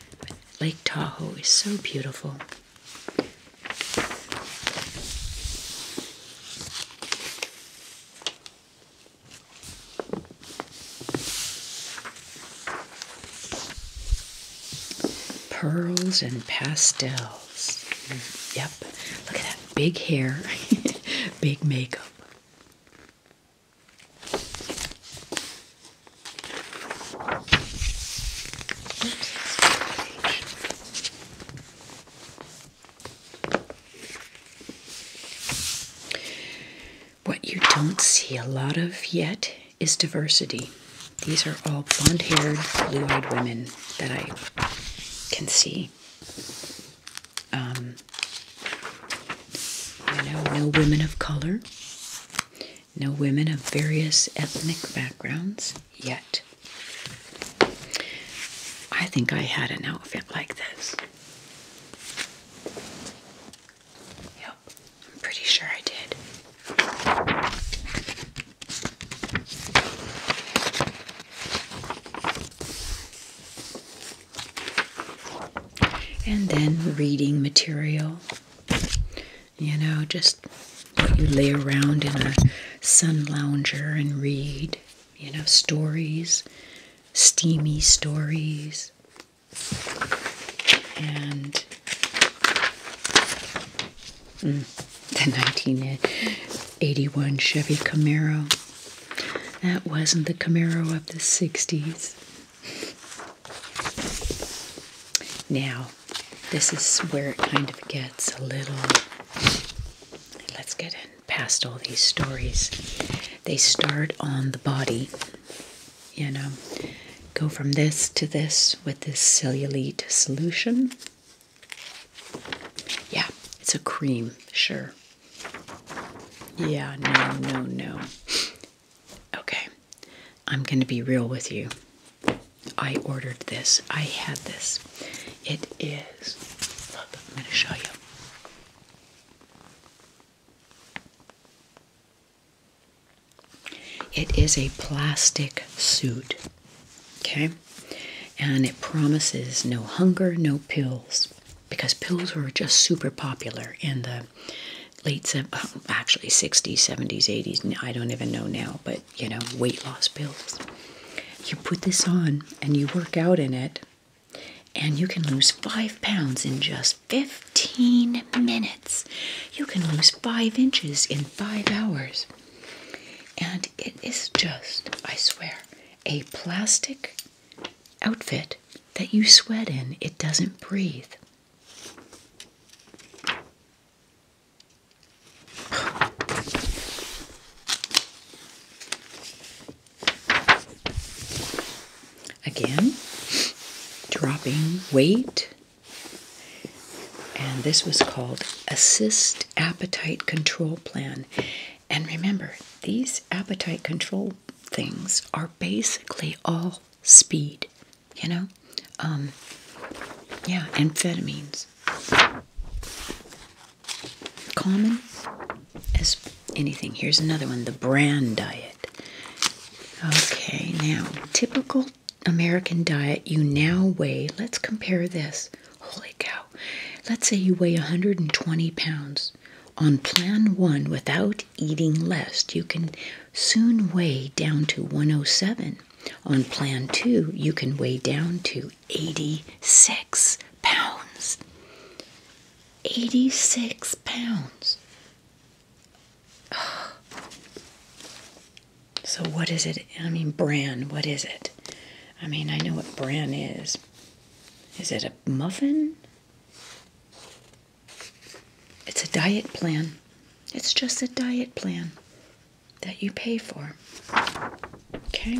Lake Tahoe is so beautiful. Pearls and pastel. Yep. Look at that big hair, (laughs) big makeup. What you don't see a lot of yet is diversity. These are all blonde haired, blue eyed women that I can see. Um, you know, no women of color, no women of various ethnic backgrounds yet. I think I had an outfit like this. Yep, I'm pretty sure I did. And then reading material. You know, just you lay around in a sun lounger and read, you know, stories, steamy stories. And mm, the 1981 Chevy Camaro. That wasn't the Camaro of the 60s. Now, this is where it kind of gets a little. Let's get in past all these stories. They start on the body, you know, go from this to this with this cellulite solution. Yeah, it's a cream, sure. Yeah, no, no, no. Okay, I'm going to be real with you. I ordered this, I had this. It is, I'm going to show you. It is a plastic suit. Okay? And it promises no hunger, no pills, because pills were just super popular in the late, uh, actually 60s, 70s, 80s, I don't even know now, but you know, weight loss pills. You put this on and you work out in it, and you can lose five pounds in just 15 minutes. You can lose five inches in five hours. And it is just, I swear, a plastic outfit that you sweat in. It doesn't breathe. Again, dropping weight. And this was called Assist Appetite Control Plan. And remember, these appetite control things are basically all speed, you know? Um, yeah, amphetamines. Common as anything. Here's another one the bran diet. Okay, now, typical American diet, you now weigh, let's compare this Holy cow. Let's say you weigh 120 pounds. On plan one, without eating less, you can soon weigh down to 107. On plan two, you can weigh down to 86 pounds. 86 pounds. So, what is it? I mean, bran, what is it? I mean, I know what bran is. Is it a muffin? It's a diet plan. It's just a diet plan that you pay for. Okay?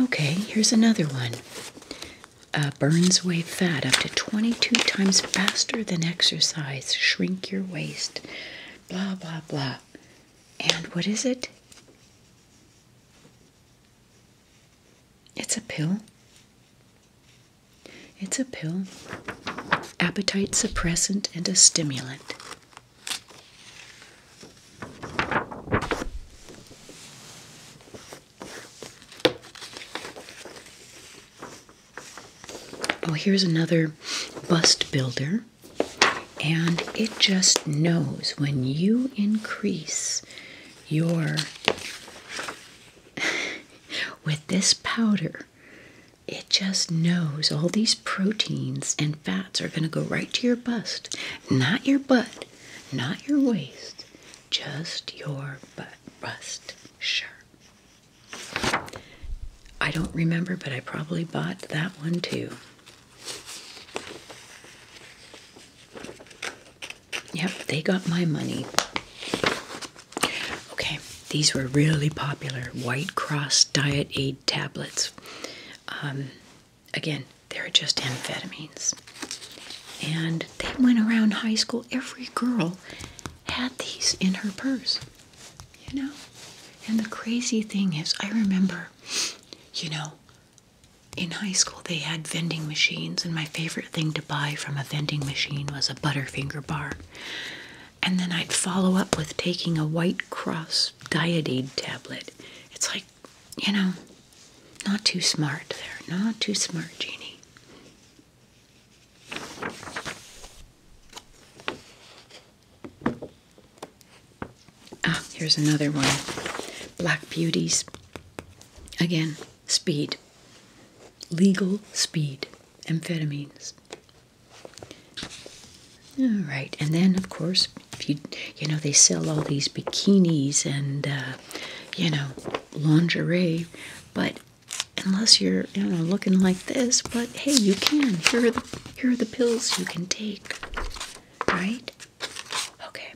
Okay, here's another one. Uh, burns away fat up to 22 times faster than exercise. Shrink your waist. Blah, blah, blah. And what is it? It's a pill. It's a pill, appetite suppressant, and a stimulant. Oh, here's another bust builder and it just knows when you increase your (laughs) with this powder it just knows all these proteins and fats are going to go right to your bust not your butt not your waist just your bust sure I don't remember, but I probably bought that one too. Yep, they got my money. Okay, these were really popular White Cross Diet Aid tablets. Um, again, they're just amphetamines. And they went around high school. Every girl had these in her purse, you know? And the crazy thing is, I remember, you know, in high school they had vending machines and my favorite thing to buy from a vending machine was a butterfinger bar and then i'd follow up with taking a white cross diodide tablet it's like you know not too smart there not too smart jeannie Ah, here's another one. Black Beauties. Again, speed. Legal speed. Amphetamines. All right, and then of course, you know they sell all these bikinis and uh, you know lingerie, but unless you're you know looking like this, but hey, you can. Here are the here are the pills you can take right? Okay.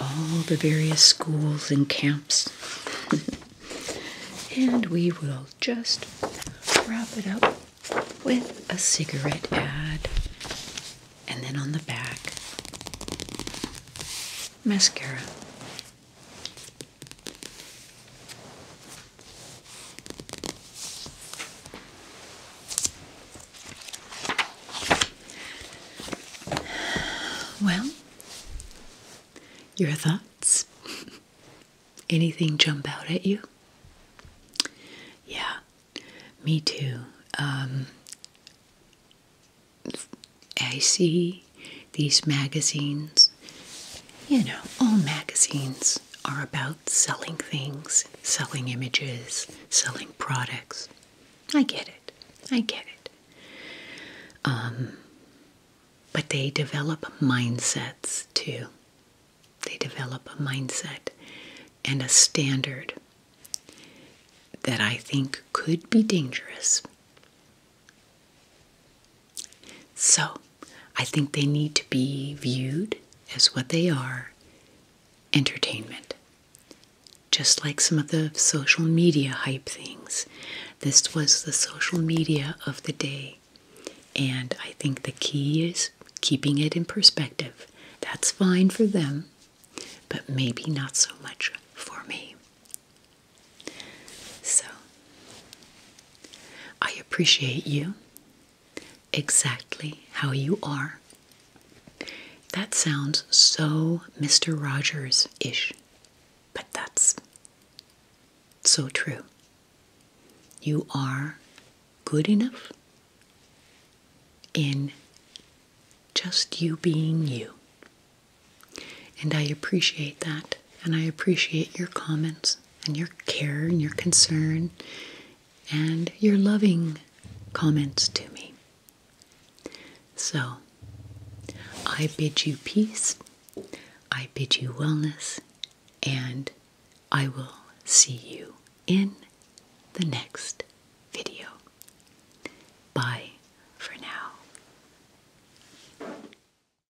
all the various schools and camps. (laughs) and we will just wrap it up with a cigarette ad. And then on the back, mascara. Well, your thoughts? (laughs) Anything jump out at you? Yeah, me too. Um, I see these magazines, you know, all magazines are about selling things, selling images, selling products. I get it. I get it. Um, but they develop mindsets too. They develop a mindset and a standard that I think could be dangerous so, I think they need to be viewed as what they are entertainment. Just like some of the social media hype things. This was the social media of the day. And I think the key is keeping it in perspective. That's fine for them, but maybe not so much for me. So, I appreciate you exactly how you are. That sounds so Mr. Rogers ish, but that's so true. You are good enough in just you being you. And I appreciate that and I appreciate your comments and your care and your concern and your loving comments to me. So, I bid you peace, I bid you wellness, and I will see you in the next video. Bye for now.